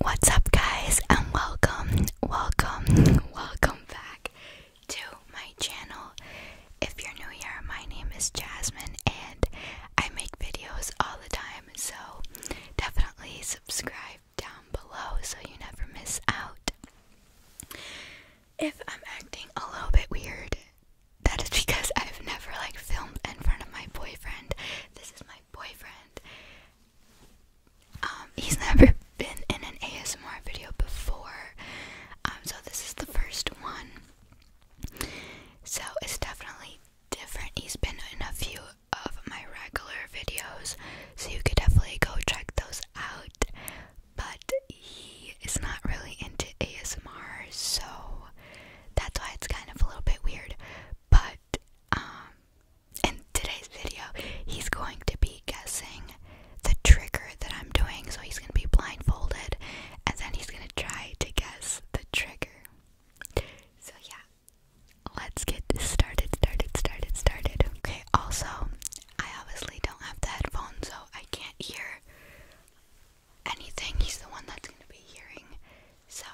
What's up, guys, and welcome, welcome, welcome back to my channel. If you're new here, my name is Jasmine, and I make videos all the time, so definitely subscribe down below so you never miss out. If I'm acting a little bit weird, that is because I've never like filmed in front of my boyfriend. This is my boyfriend. Um, he's never been in an ASMR video before, um, so this is the first one. So it's definitely different. He's been in a few of my regular videos, so you could definitely go check those out. But he is not really into ASMR, so that's why it's kind of a little bit weird. But um, in today's video, he's going to be guessing the trigger that I'm doing. So he's going to be blindfolded and then he's going to try to guess the trigger. So, yeah, let's get started, started, started, started. Okay, also, I obviously don't have the headphones, so I can't hear anything. He's the one that's going to be hearing so,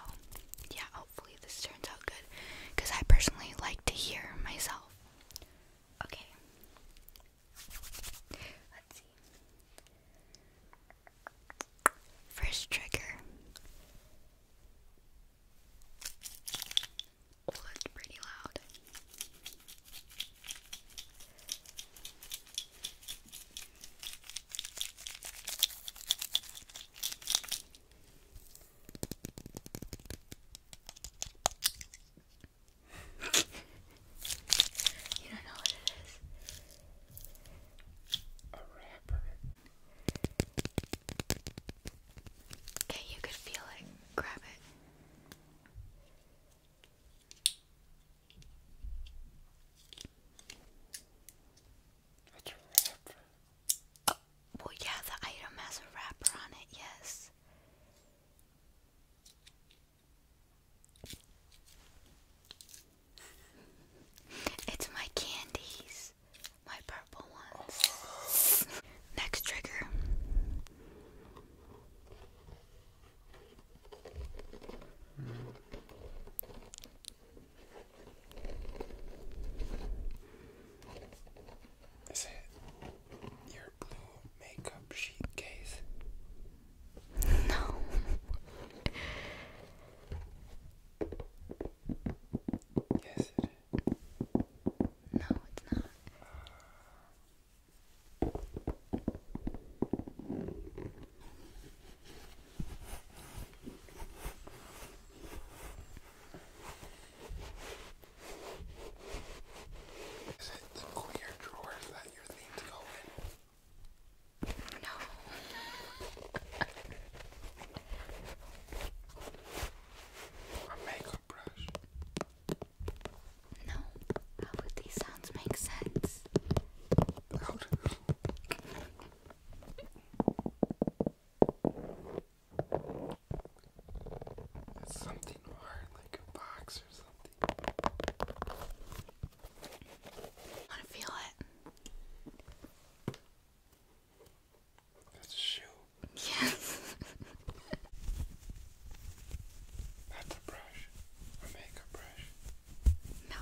yeah, hopefully this turns out good because I personally like to hear myself. Okay. Let's see. First trigger. Oh, that's pretty loud you don't know what it is. Okay, you could feel it. Grab it. That's a rapper. Oh well, yeah, the item has a wrapper on it, yes. It's my candies, my purple ones. Next trigger. Is it your blue makeup sheet case? No. yes, it is. No, it's not. Is it the clear drawers that your things go in? No. A makeup brush. No. How would these sounds make sense? It's something hard, like a box or something. I want to feel it. That's a shoe. Yes. That's a brush. A makeup brush. No.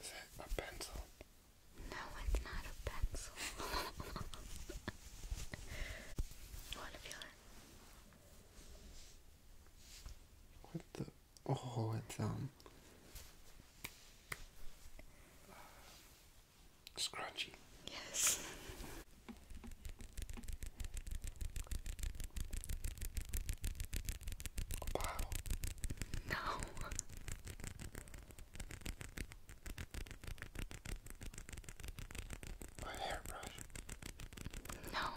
Is it a pencil? No, it's not a pencil. want to feel it? What the? Oh, it's um uh, scrunchy. Yes. Wow. No. My hairbrush. No.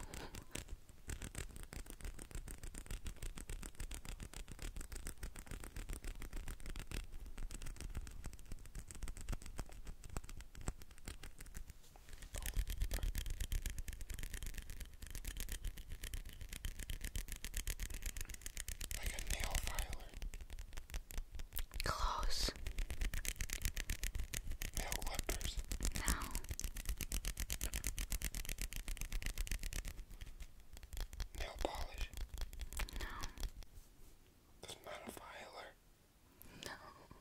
Like a nail filer. Close. No Nail polish. No. That's not No.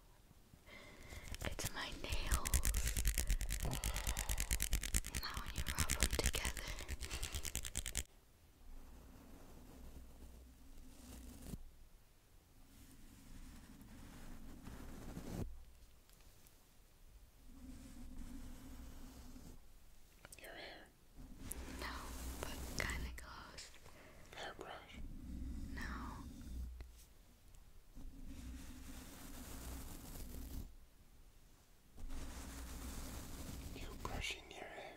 It's my nails. You when you rub them together. Your hair. No, but kind of close. Hairbrush. No. You brushing your hair.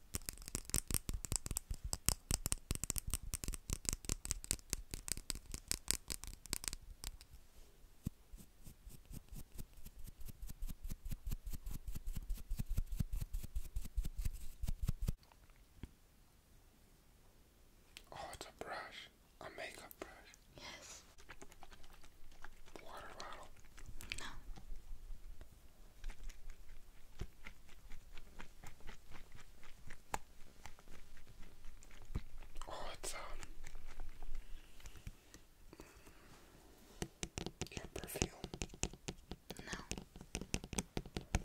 Oh, it's a brush, a makeup brush. Yes. Water bottle. No. Oh, it's um your perfume. No.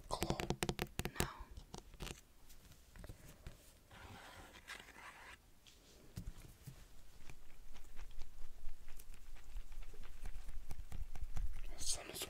Glow. No. Some sort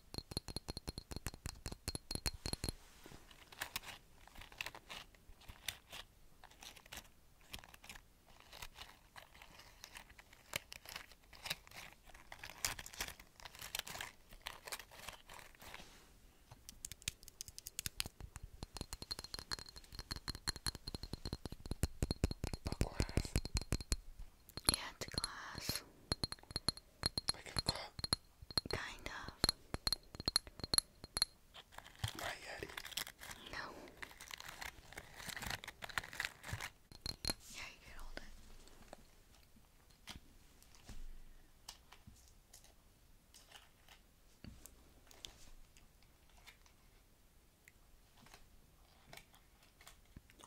A glass. Yeah, it's glass. Kind of. My Yeti. No. Yeah, you can hold it.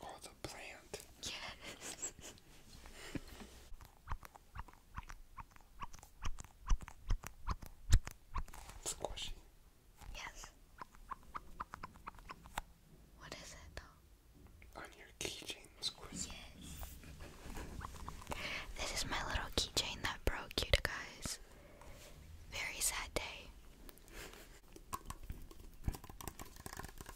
Oh, the plant. Yes. Squishy. Yes. What is it though? On your keychain, Squishy. Yes. This is my little keychain that broke, you guys. Very sad day.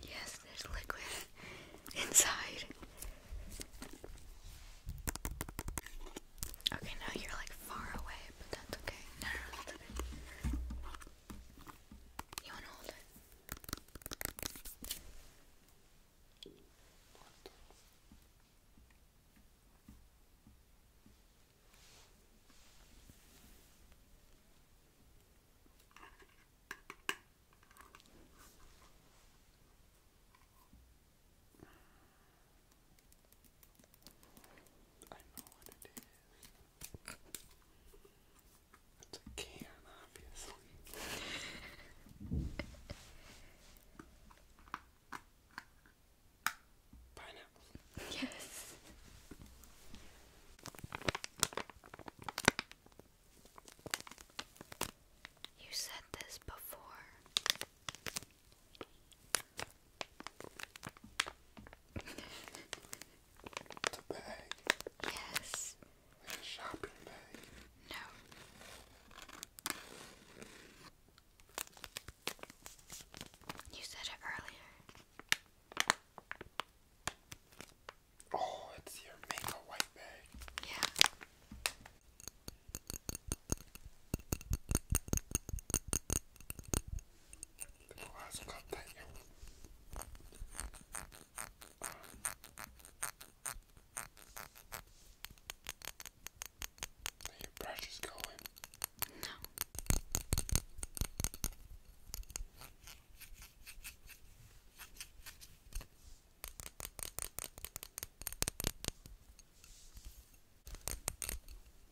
Yes, there's liquid inside. Okay, now you're like far away okay, but that's okay. No, no, that's okay. You wanna hold it? I know what it is. It's a can, obviously. Pineapples. Yes. You said this before. It's bag. Yes. shopping bag. No. You said it earlier. Oh, it's your make white bag. Yeah. でこう預かったんよ Are your brushes going? No.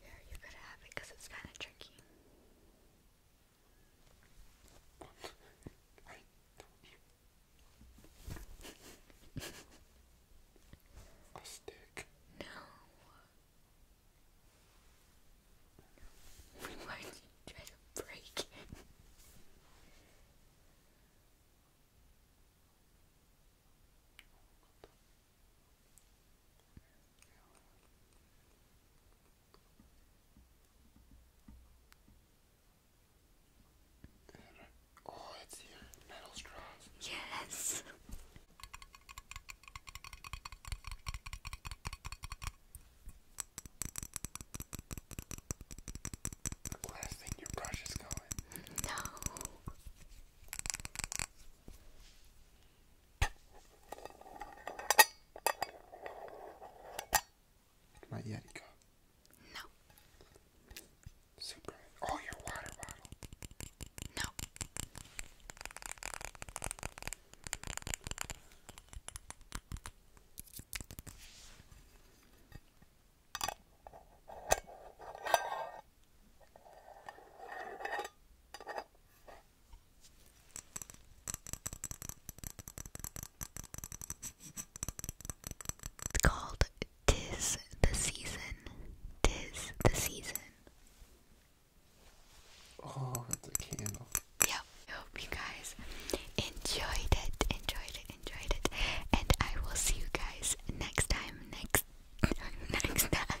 Here, you gotta have it it's kind of tricky. A stick? No. Why did you try to break it? oh, it's your metal straws. Yes. the last thing your brush is going. No. My Yeti cup. No. Super. Oh, your water bottle. No. It's called Tis the Season. Tis the Season. Oh, it's a candle. Yep. Hope you guys enjoyed it, enjoyed it, enjoyed it. And I will see you guys next time. Next next time.